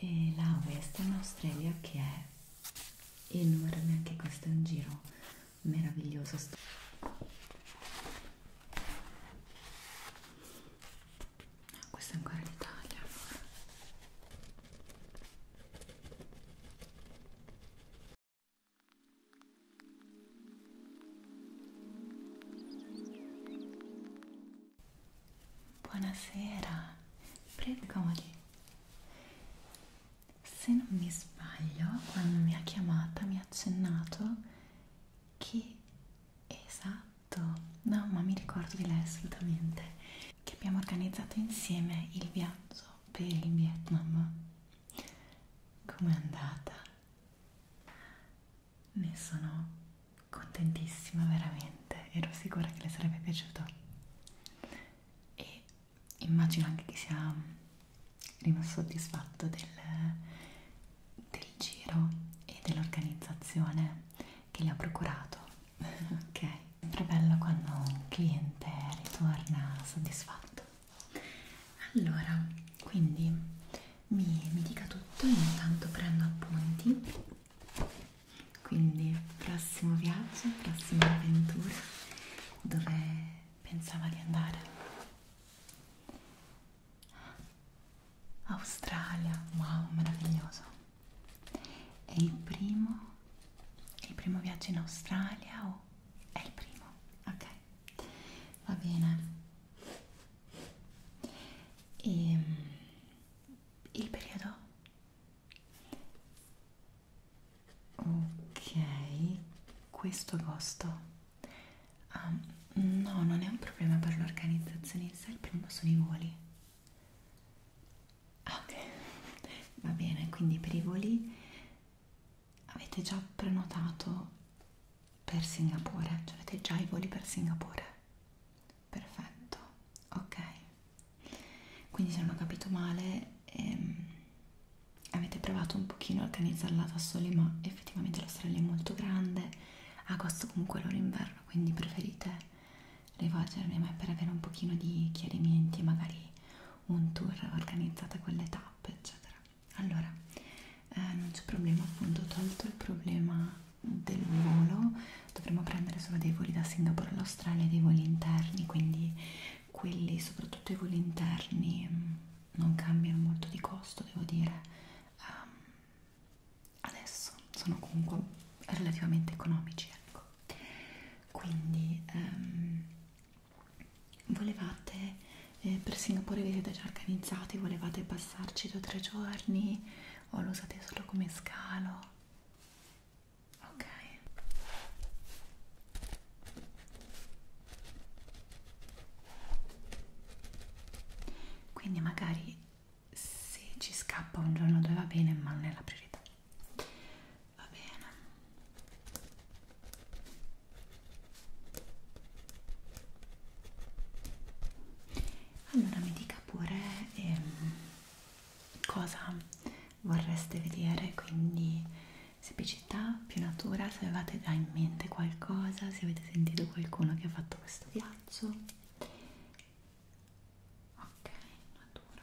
e la Western Australia che è enorme anche questo è un giro meraviglioso no, questo è ancora l'Italia Buonasera, prego comodi. Se non mi sbaglio, quando mi ha chiamata mi ha accennato che esatto, no, ma mi ricordo di lei assolutamente, che abbiamo organizzato insieme il viaggio per il Vietnam. Com'è andata? Ne sono contentissima veramente, ero sicura che le sarebbe piaciuto e immagino anche che sia rimasto soddisfatto del, del giro e dell'organizzazione che gli ha procurato. ok, sempre bello quando un cliente ritorna soddisfatto allora quindi mi, mi dica tutto io intanto prendo appunti quindi prossimo viaggio prossima avventura dove pensava di andare Australia wow meraviglioso è il primo è il primo viaggio in Australia o è il primo ok va bene e ehm, il periodo ok questo agosto ah, no non è un problema per l'organizzazione in sé il primo sono i voli ah, ok va bene quindi per i voli avete già prenotato per Singapore? Cioè avete già i voli per Singapore? Perfetto, ok. Quindi se non ho capito male, ehm, avete provato un pochino a organizzarla da soli, ma effettivamente l'Australia è molto grande, agosto comunque è l'ora inverno, quindi preferite rivolgermi a me per avere un pochino di chiarimenti, magari un tour organizzato a quelle tappe, eccetera allora eh, non c'è problema appunto tolto il problema del volo dovremo prendere solo dei voli da Singapore all'Australia e dei voli interni quindi quelli soprattutto i voli interni mm, non cambiano molto di costo devo dire um, adesso sono comunque relativamente economici ecco quindi um, volevate eh, per Singapore vi siete già organizzati volevate passarci due o tre giorni o lo usate solo come scalo ok quindi magari se ci scappa un giorno dove va bene ma non è la priorità va bene allora mi dica pure ehm, cosa vorreste vedere, quindi semplicità, più natura, se avevate già in mente qualcosa, se avete sentito qualcuno che ha fatto questo viaggio. Ok, natura.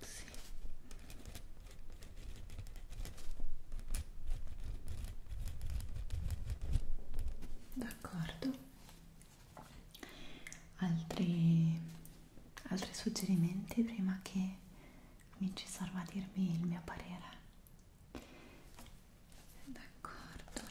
Sì. D'accordo. Altri, altri suggerimenti prima che mi ci serva a dirmi il mio parere? D'accordo.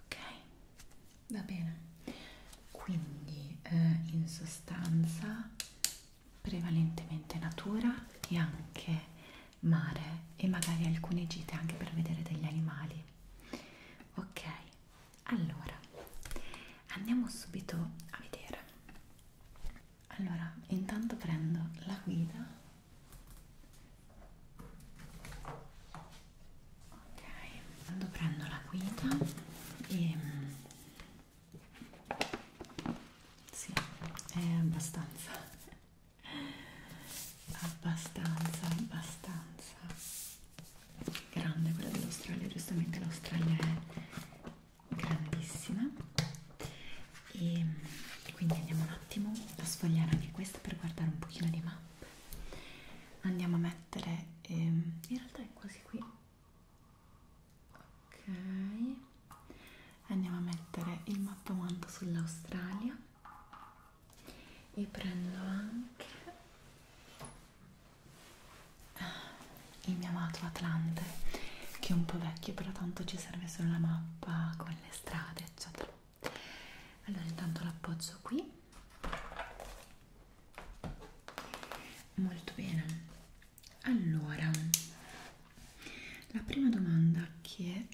ok va bene quindi eh, in sostanza prevalentemente natura e anche mare e magari alcune gite anche per vedere degli animali ok allora andiamo subito a vedere allora intanto prendo la guida ok intanto prendo la guida e ehm, sì è abbastanza abbastanza abbastanza grande quella dell'Australia giustamente l'Australia è grandissima e quindi andiamo un attimo a sfogliare anche questa per guardare un pochino di mappe andiamo a mettere ehm, in realtà è quasi qui ok andiamo a mettere il mappamento sull'Australia e prendo anche il mio amato Atlante che è un po' vecchio però tanto ci serve solo la mappa con le strade eccetera allora intanto l'appoggio qui molto bene allora la prima domanda che eh,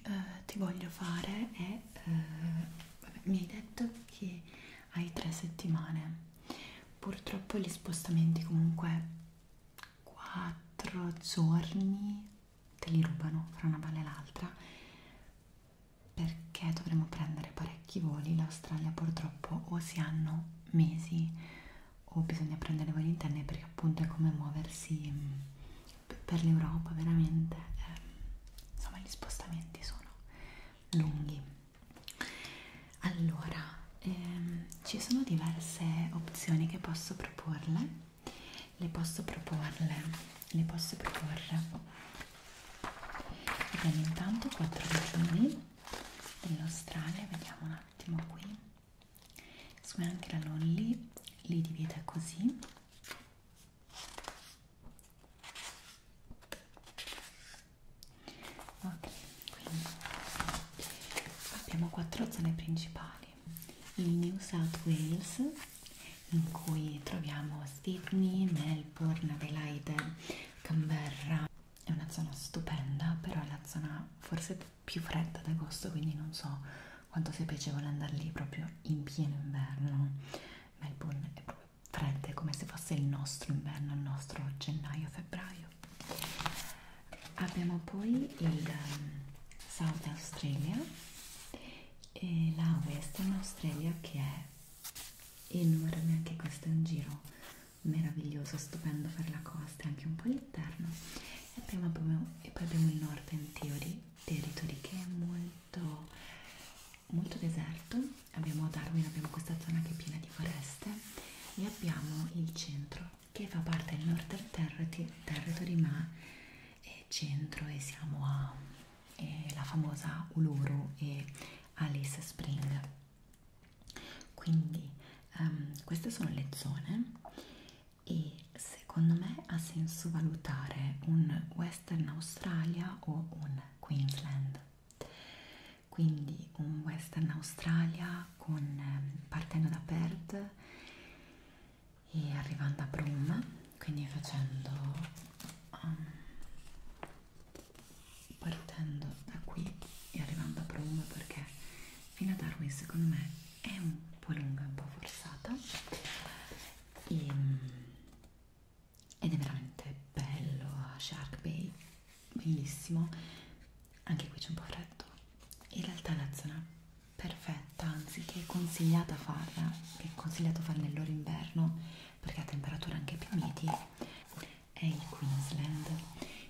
ti voglio fare è eh, vabbè, mi hai detto che hai tre settimane purtroppo gli spostamenti comunque quattro giorni te li rubano fra una palla e l'altra perché dovremmo prendere parecchi voli l'Australia purtroppo o si hanno mesi o bisogna prendere voli interni perché appunto è come muoversi mm, per l'Europa veramente eh, insomma gli spostamenti sono lunghi allora ehm, ci sono diverse opzioni che posso proporle le posso proporle le posso proporre abbiamo intanto quattro vicini dell'Australia vediamo un attimo qui su anche la Lolli li divide così ok quindi abbiamo quattro zone principali il New South Wales in cui troviamo Sydney, Melbourne, Adelaide, Canberra è una zona stupenda però è la zona forse più fredda d'agosto quindi non so quanto sia piacevole andare lì proprio in pieno inverno Melbourne è proprio fredda è come se fosse il nostro inverno il nostro gennaio-febbraio abbiamo poi il um, South Australia e la Western Australia che è enorme anche questo è un giro meraviglioso stupendo per la costa anche un po' l'interno e, e poi abbiamo il Northern Theory Territory che è molto molto deserto abbiamo Darwin abbiamo questa zona che è piena di foreste e abbiamo il centro che fa parte del Northern Territory, territory ma è centro e siamo a e la famosa Uluru e Alice Spring quindi um, queste sono le zone e secondo me ha senso valutare un Western Australia o un Queensland quindi un western Australia con, ehm, partendo da Perth e arrivando a Broome quindi facendo um, partendo da qui e arrivando a Broome perché fino a Darwin secondo me è un po' lunga, un po' forzata e, mm, ed è veramente bello a Shark Bay bellissimo anche qui c'è un po' freddo in realtà la zona perfetta anzi che è consigliata farla che è consigliato farla nell'oro inverno perché a temperature anche più miti è il Queensland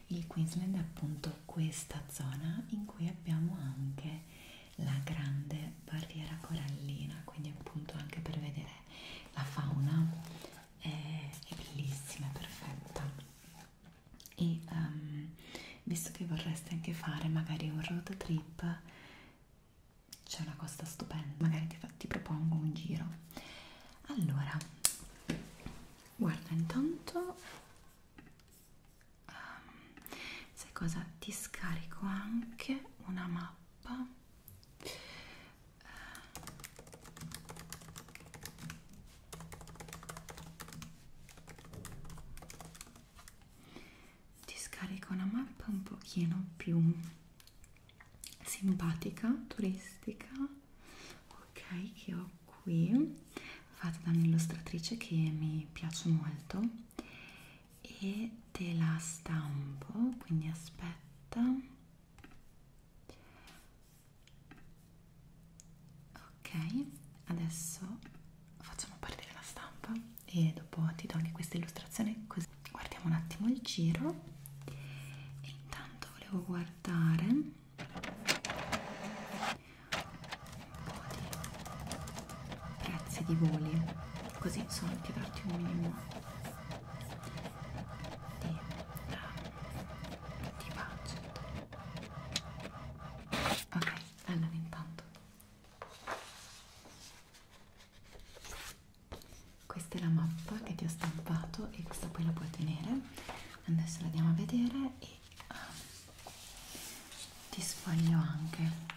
il Queensland è appunto questa zona in cui abbiamo anche la grande barriera corallina quindi appunto anche per vedere la fauna è, è bellissima, è perfetta e um, visto che vorreste anche fare magari un road trip c'è una cosa stupenda, magari ti, ti propongo un giro allora guarda intanto um, sai cosa? ti scarico anche una mappa ti scarico una mappa un pochino più simpatica, turistica ok che ho qui fatta da un'illustratrice che mi piace molto e te la stampo quindi aspetta ok adesso facciamo partire la stampa e dopo ti do anche questa illustrazione così guardiamo un attimo il giro e intanto volevo guardare un po' di prezzi di voli così solo per darti un minimo di, di budget ok allora intanto questa è la mappa che ti ho stampato e questa poi la puoi tenere adesso la andiamo a vedere e um, ti sfoglio anche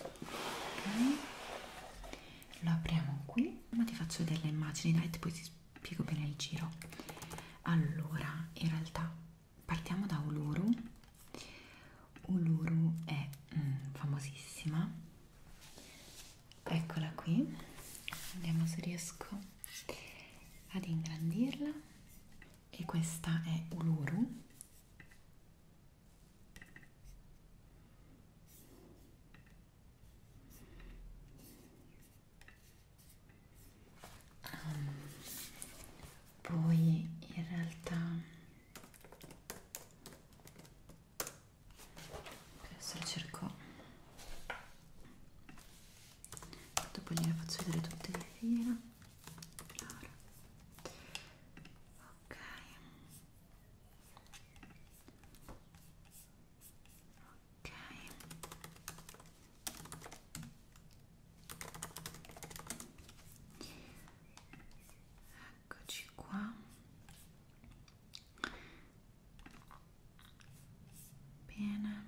okay. lo apriamo qui ma ti faccio vedere le immagini dai poi ti spiego bene il giro allora in realtà partiamo da Uluru Uluru è mm, famosissima eccola qui vediamo se riesco ad ingrandirla e questa è Uluru Um, poi in realtà adesso lo cerco dopo gliela faccio vedere tutte le fiera allora. ok ok eccoci qua bene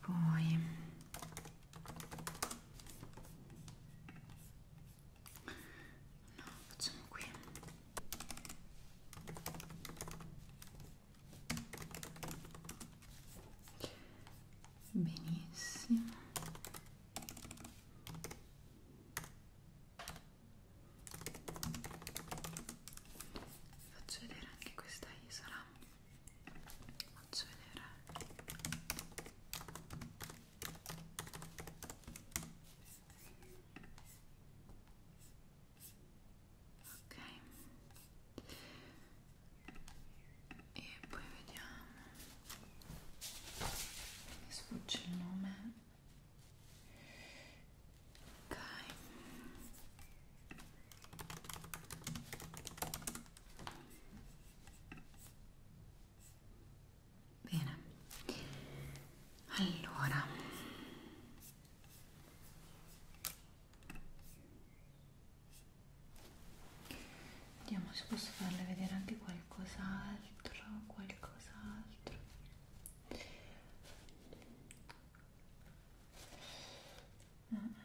poi No, facciamo qui. Benissimo. Faccio vedere anche questa isola faccio vedere ok e poi vediamo mi sfugge il nome ok Bene, allora vediamo se posso farle vedere anche qualcos'altro, qualcos'altro. Mm.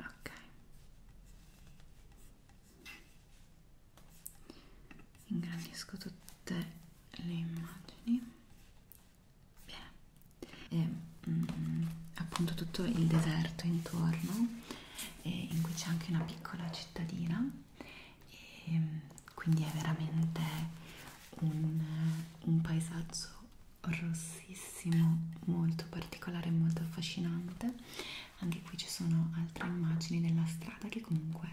ok ingrandisco tutte le immagini Bene. e mm, appunto tutto il deserto intorno e in cui c'è anche una piccola cittadina e mm, quindi è veramente un, un paesaggio rossissimo molto particolare molto affascinante anche qui ci sono altre immagini della strada che comunque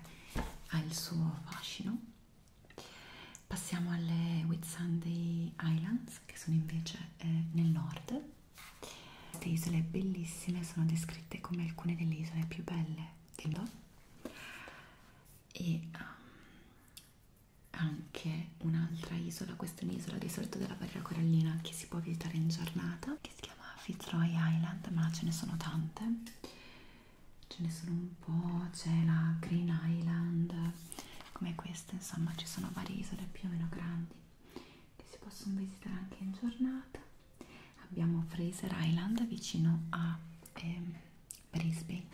ha il suo fascino passiamo alle Whitsunday Islands che sono invece eh, nel nord queste isole bellissime sono descritte come alcune delle isole più belle del mondo e um, anche un'altra isola, questa è un'isola risorto della barriera corallina che si può visitare in giornata, che si chiama Fitzroy Island, ma ce ne sono tante, ce ne sono un po', c'è la Green Island, come questa, insomma ci sono varie isole più o meno grandi che si possono visitare anche in giornata. Abbiamo Fraser Island vicino a eh, Brisbane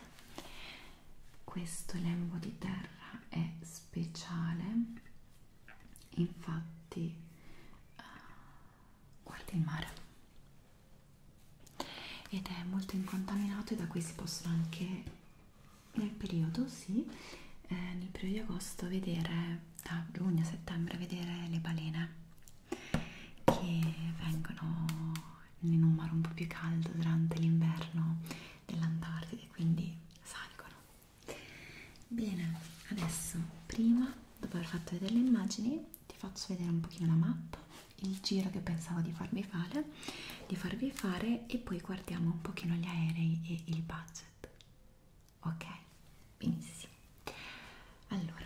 questo lembo di terra è speciale infatti uh, guarda il mare ed è molto incontaminato e da qui si possono anche nel periodo sì eh, nel periodo di agosto vedere da giugno a settembre vedere le balene che vengono in un mare un po' più caldo durante l'inverno dell'Antartide, quindi salgono. Bene, adesso prima, dopo aver fatto vedere le immagini, ti faccio vedere un pochino la mappa, il giro che pensavo di farvi fare, di farvi fare e poi guardiamo un pochino gli aerei e il budget. Ok, benissimo. Allora,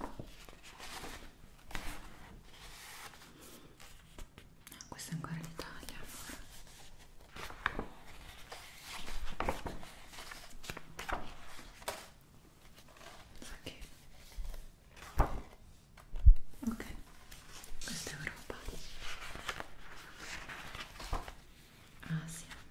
Ah, questa è ancora l'Italia. Ok. Ok. Questa è Europa. Asia. Ah,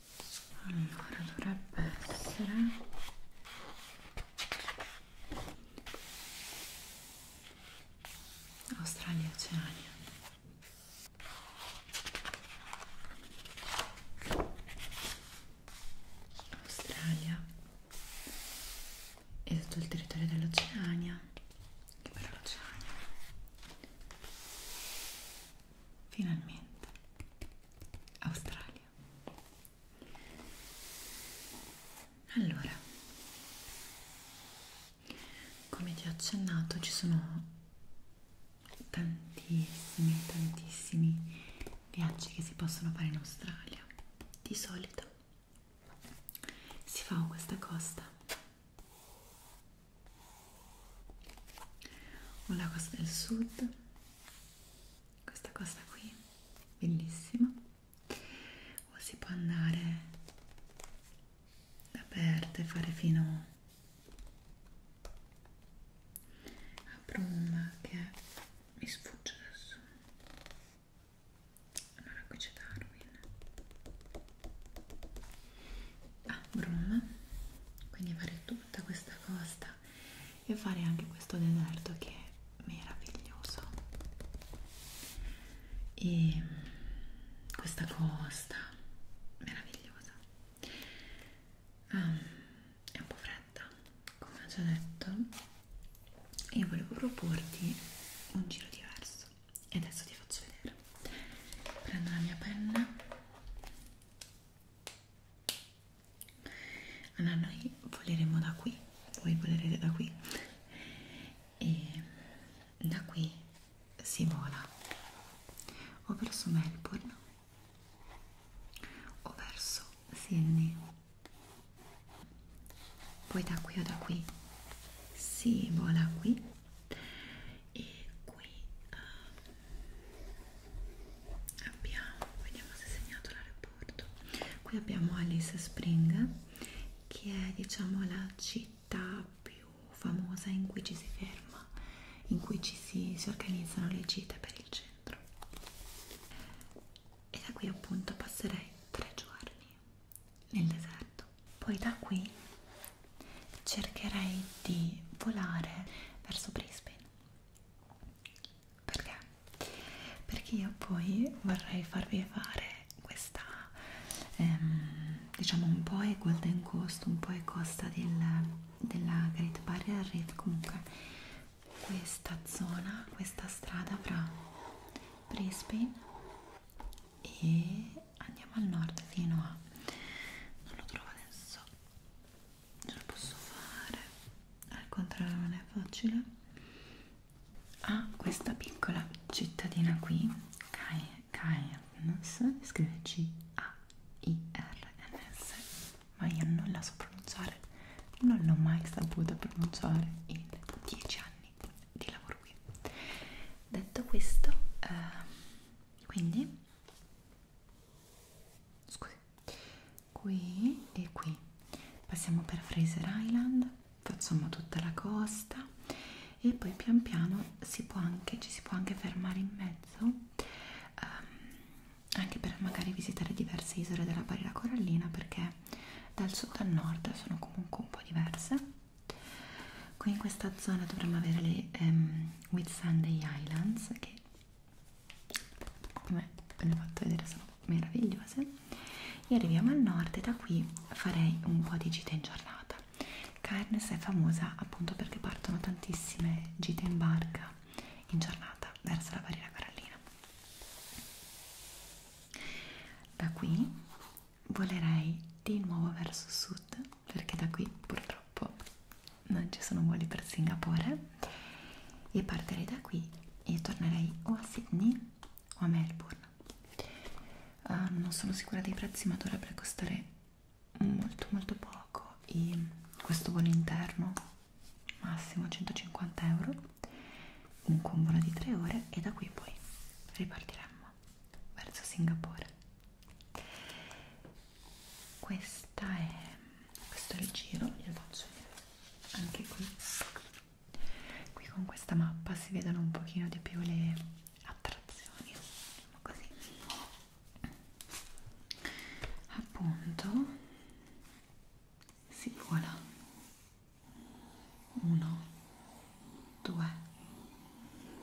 allora dovrebbe essere Australia e Oceania Australia e tutto il territorio dell'Oceania che però l'Oceania finalmente Australia allora come ti ho accennato ci sono tantissimi tantissimi viaggi che si possono fare in Australia di solito si fa questa costa ho la costa del sud questa costa qui bellissima o si può andare da Perth e fare fino a Bruma che mi sfugge adesso allora qui c'è Darwin a ah, Brum quindi fare tutta questa costa e fare anche questo deserto che è meraviglioso e questa costa meravigliosa um, è un po' fredda come ho già detto e volevo proporti un giro diverso e adesso ti faccio vedere prendo la mia penna allora noi voleremo da qui voi volerete da qui e da qui si vola o verso Melbourne o verso Sydney poi da qui o da qui si vola qui e qui um, abbiamo vediamo se è segnato l'aeroporto qui abbiamo Alice Spring che è diciamo la città più famosa in cui ci si ferma in cui ci si, si organizzano le gite per il centro e da qui appunto passerei tre giorni nel deserto poi da qui cercherei di volare verso Brisbane. Perché? Perché io poi vorrei farvi fare questa, ehm, diciamo un po' è Golden Coast, un po' è costa del, della Great Barrier Reef, comunque questa zona, questa strada fra Brisbane e andiamo al nord fino a non lo trovo adesso ce lo posso fare al contrario non è facile a ah, questa piccola cittadina qui Cairns scrive C A I R N S ma io non la so pronunciare non l'ho mai saputa pronunciare in 10 anni di lavoro qui detto questo eh, quindi scusi qui e qui passiamo per Fraser Island facciamo tutta la costa e poi pian piano si può anche, ci si può anche fermare in mezzo um, anche per magari visitare diverse isole della barriera corallina perché dal sud al nord sono comunque un po' diverse qui in questa zona dovremmo avere le um, Whitsunday Islands che come ve le ho fatto vedere sono meravigliose e arriviamo al nord e da qui farei un po' di gita in giornata Cairns è famosa appunto perché partono tantissime gite in barca in giornata verso la barriera corallina da qui volerei di nuovo verso sud perché da qui purtroppo non ci sono voli per Singapore e partirei da qui e tornerei o a Sydney o a Melbourne uh, non sono sicura dei prezzi ma dovrebbe costare molto molto poco e questo volo interno massimo 150 euro un convolo di 3 ore e da qui poi ripartiremmo verso Singapore questa è questo è il giro glielo faccio vedere anche qui qui con questa mappa si vedono un pochino di più le attrazioni diciamo così appunto si vola 1 2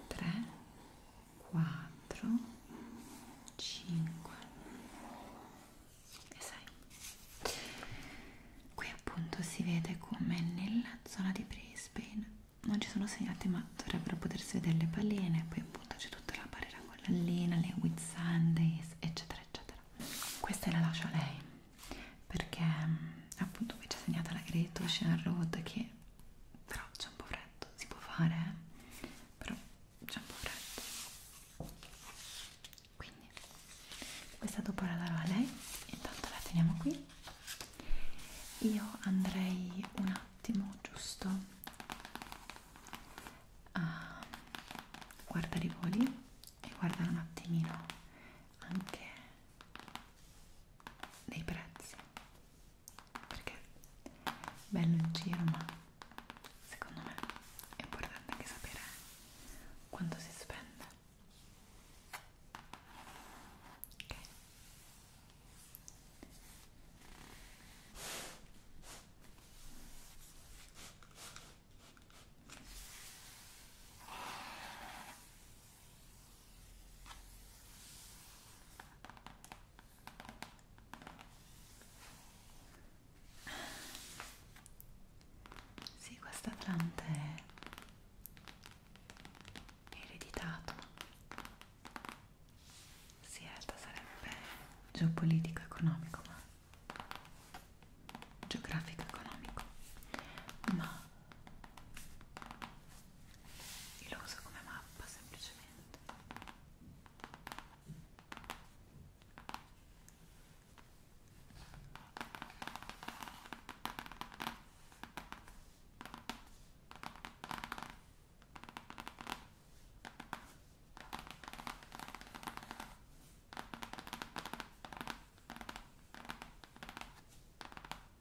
3 4 5 e 6 qui appunto si vede come nella zona di Brisbane non ci sono segnate ma dovrebbero potersi vedere le palline poi appunto c'è tutta la barriera con l'allina le with sundays eccetera eccetera questa la lascio a lei perché mm, appunto qui c'è segnata la Great Ocean Road che però c'è un po' freddo, si può fare, eh? però c'è un po' freddo. Quindi questa dopo la darò a lei, intanto la teniamo qui. Io andrei un attimo giusto a guardare i voli e guardare un attimino anche dei prezzi perché è bello in giro ma secondo me è importante anche sapere quanto si spende ok sì, questo Atlante è ereditato. Sì, in realtà sarebbe geopolitico-economico, ma geografico-economico, ma io lo uso come mappa semplicemente. Ecco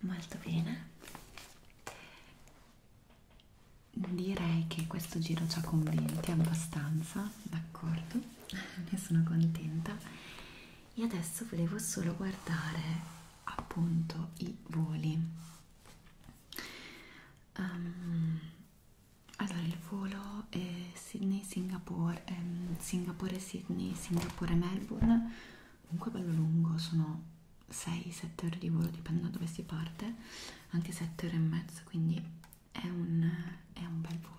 Molto bene. Direi che questo giro ci ha convinti abbastanza, d'accordo? Ne sono contenta. E adesso volevo solo guardare appunto i voli um, allora il volo è Sydney Singapore ehm, Singapore Sydney Singapore Melbourne comunque bello lungo sono 6-7 ore di volo dipende da dove si parte anche 7 ore e mezzo quindi è un, è un bel volo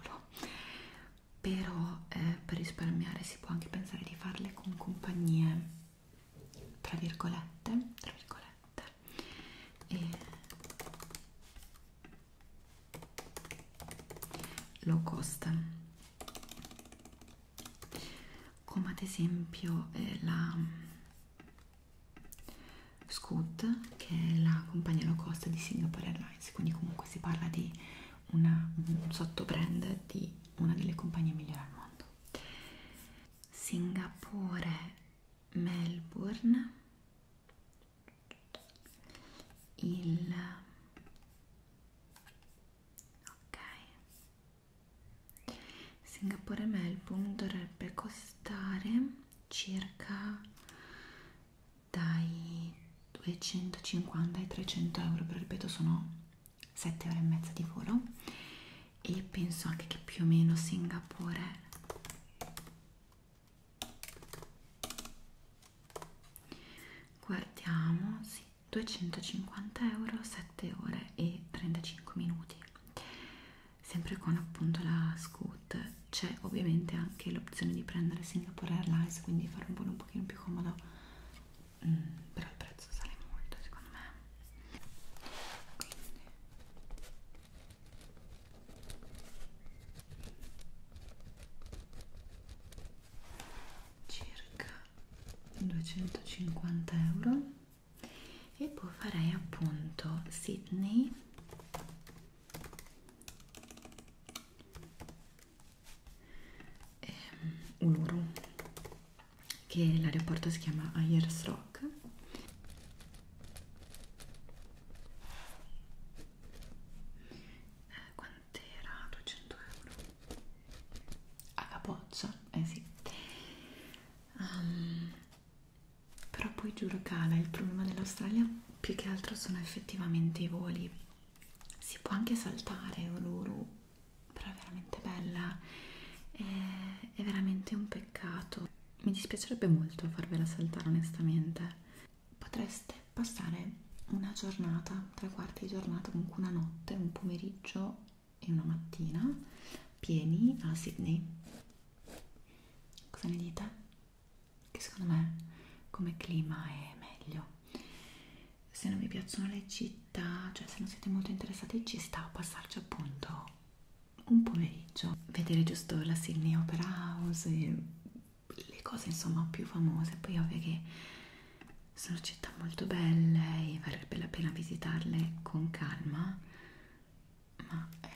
però eh, per risparmiare si può anche pensare di farle con compagnie tra virgolette, tra virgolette e low cost come ad esempio eh, la Scoot che è la compagnia low cost di Singapore Airlines quindi comunque si parla di una, un sottobrand di una delle compagnie migliori al mondo. Singapore, Melbourne, il ok Singapore Melbourne dovrebbe costare circa dai 250 ai 300 euro però ripeto sono 7 ore e mezza di volo e penso anche che più o meno Singapore guardiamo sì, 250 euro 7 ore e 35 minuti sempre con appunto la scoot c'è ovviamente anche l'opzione di prendere Singapore Airlines quindi fare un volo un pochino più comodo mm, però il prezzo sale molto secondo me quindi circa 250 euro e poi farei appunto Sydney eh, Uluru che l'aeroporto si chiama Ayers Rock eh, quant'era? 200 euro a capoccia, eh sì um, però poi giuro cala il problema dell'Australia più che altro sono effettivamente i voli si può anche saltare Oruru però è veramente bella è, è veramente un peccato mi dispiacerebbe molto farvela saltare onestamente potreste passare una giornata tre quarti di giornata comunque una notte un pomeriggio e una mattina pieni a Sydney cosa ne dite? che secondo me come clima è meglio se non vi piacciono le città, cioè se non siete molto interessati ci sta a passarci appunto un pomeriggio, vedere giusto la Sydney Opera House e le cose insomma più famose, poi ovvio che sono città molto belle e varrebbe la pena visitarle con calma, ma eh,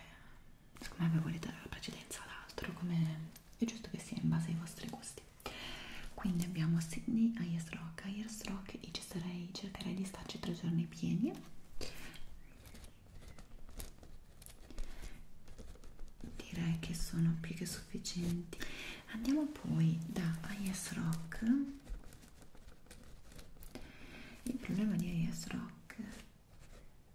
secondo me voi volete dare la precedenza ad altro come è giusto che sia in base ai vostri gusti quindi abbiamo Sydney, Ayers Rock, Ayers Rock e ci sarei, cercherei di starci tre giorni pieni direi che sono più che sufficienti andiamo poi da Ayers Rock il problema di Ayers Rock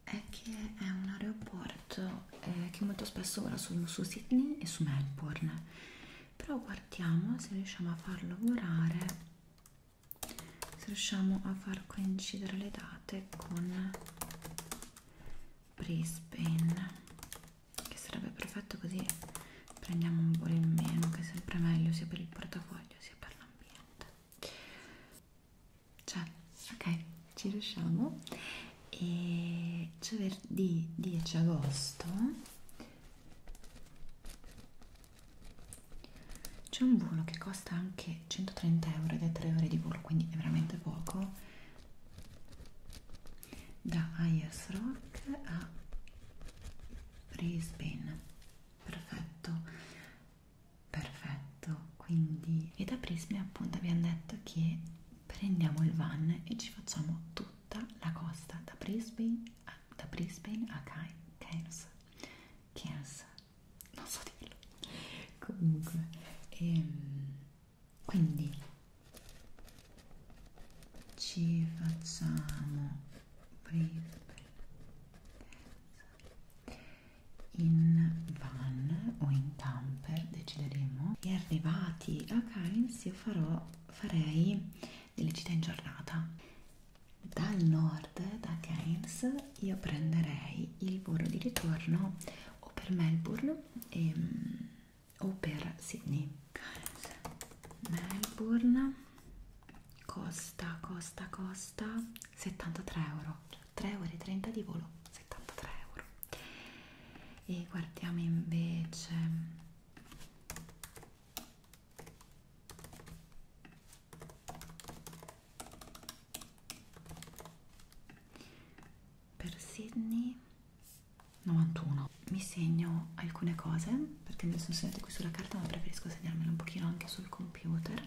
è che è un aeroporto accorto eh, che molto spesso ora sono su Sydney e su Melbourne però guardiamo se riusciamo a farlo lavorare se riusciamo a far coincidere le date con Brisbane che sarebbe perfetto così prendiamo un volo in meno che è sempre meglio sia per il portafoglio sia per l'ambiente cioè ok ci riusciamo e giovedì 10 agosto c'è un volo che costa anche 130 euro ed è 3 ore di volo quindi è veramente poco da Ayers Rock a Brisbane perfetto perfetto quindi e da Brisbane appunto abbiamo detto che prendiamo il van e ci facciamo tutta la costa da Brisbane a, da Brisbane a Cairns Cairns non so dirlo comunque ehm, quindi ci facciamo Brisbane in van o in camper decideremo e arrivati Infatti a Cairns io farò, farei delle gite in giornata. Dal nord, da Cairns, io prenderei il volo di ritorno o per Melbourne e, ehm, o per Sydney. Cairns, Melbourne, costa, costa, costa, 73 euro. Cioè 3 ore e 30 di volo, 73 euro e guardiamo invece per Sydney 91 mi segno alcune cose perché me le sono segnate qui sulla carta ma preferisco segnarmele un pochino anche sul computer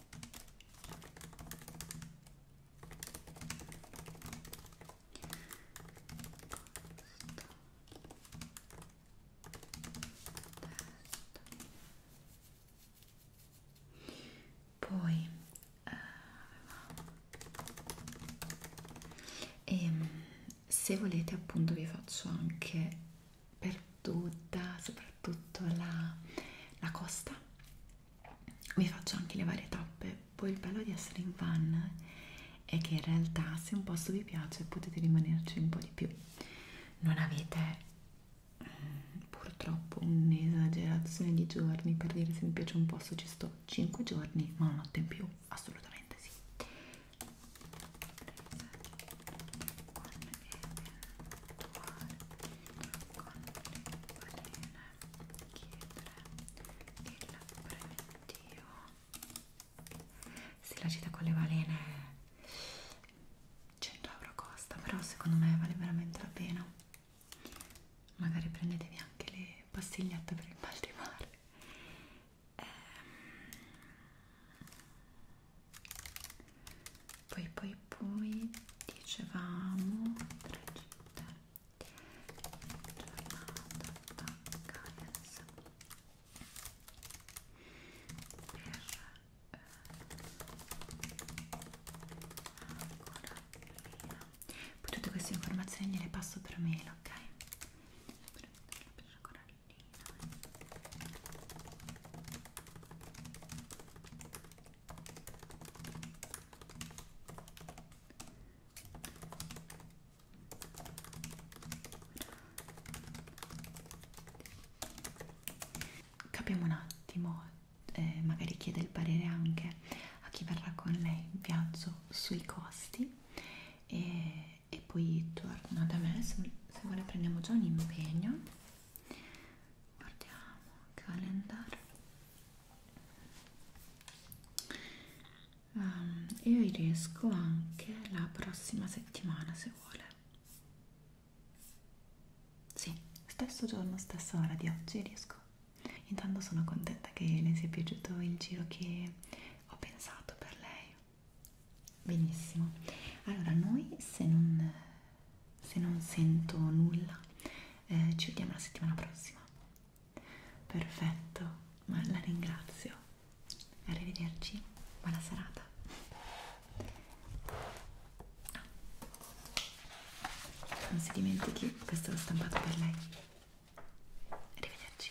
poi eh, e ehm, se volete appunto vi faccio anche perduta, soprattutto la, la costa. Vi faccio anche le varie tappe. Poi il bello di essere in van è che in realtà se un posto vi piace potete rimanerci un po' di più. Non avete mm, purtroppo un'esagerazione di giorni per dire se mi piace un posto ci sto 5 giorni ma una notte in più assolutamente sì sì, la gita con le balene 100 euro costa, però secondo me vale veramente la pena. Magari prendetevi anche le pastigliette per il mal di mare. Ehm poi poi poi dicevamo tre città giornata vacanza per eh, ancora lì poi tutte queste informazioni le passo per mail ok per, per ancora Capiamo un attimo, eh, magari chiede il parere anche a chi verrà con lei in viaggio sui costi e, e poi torna da me se, se vuole prendiamo già un impegno guardiamo calendario um, io riesco anche la prossima settimana se vuole sì stesso giorno stessa ora di oggi riesco intanto sono contenta che le sia piaciuto il giro che ho pensato per lei benissimo allora noi se non, se non sento nulla eh, ci vediamo la settimana prossima perfetto ma la ringrazio arrivederci buona serata ah, non si dimentichi questo l'ho stampato per lei arrivederci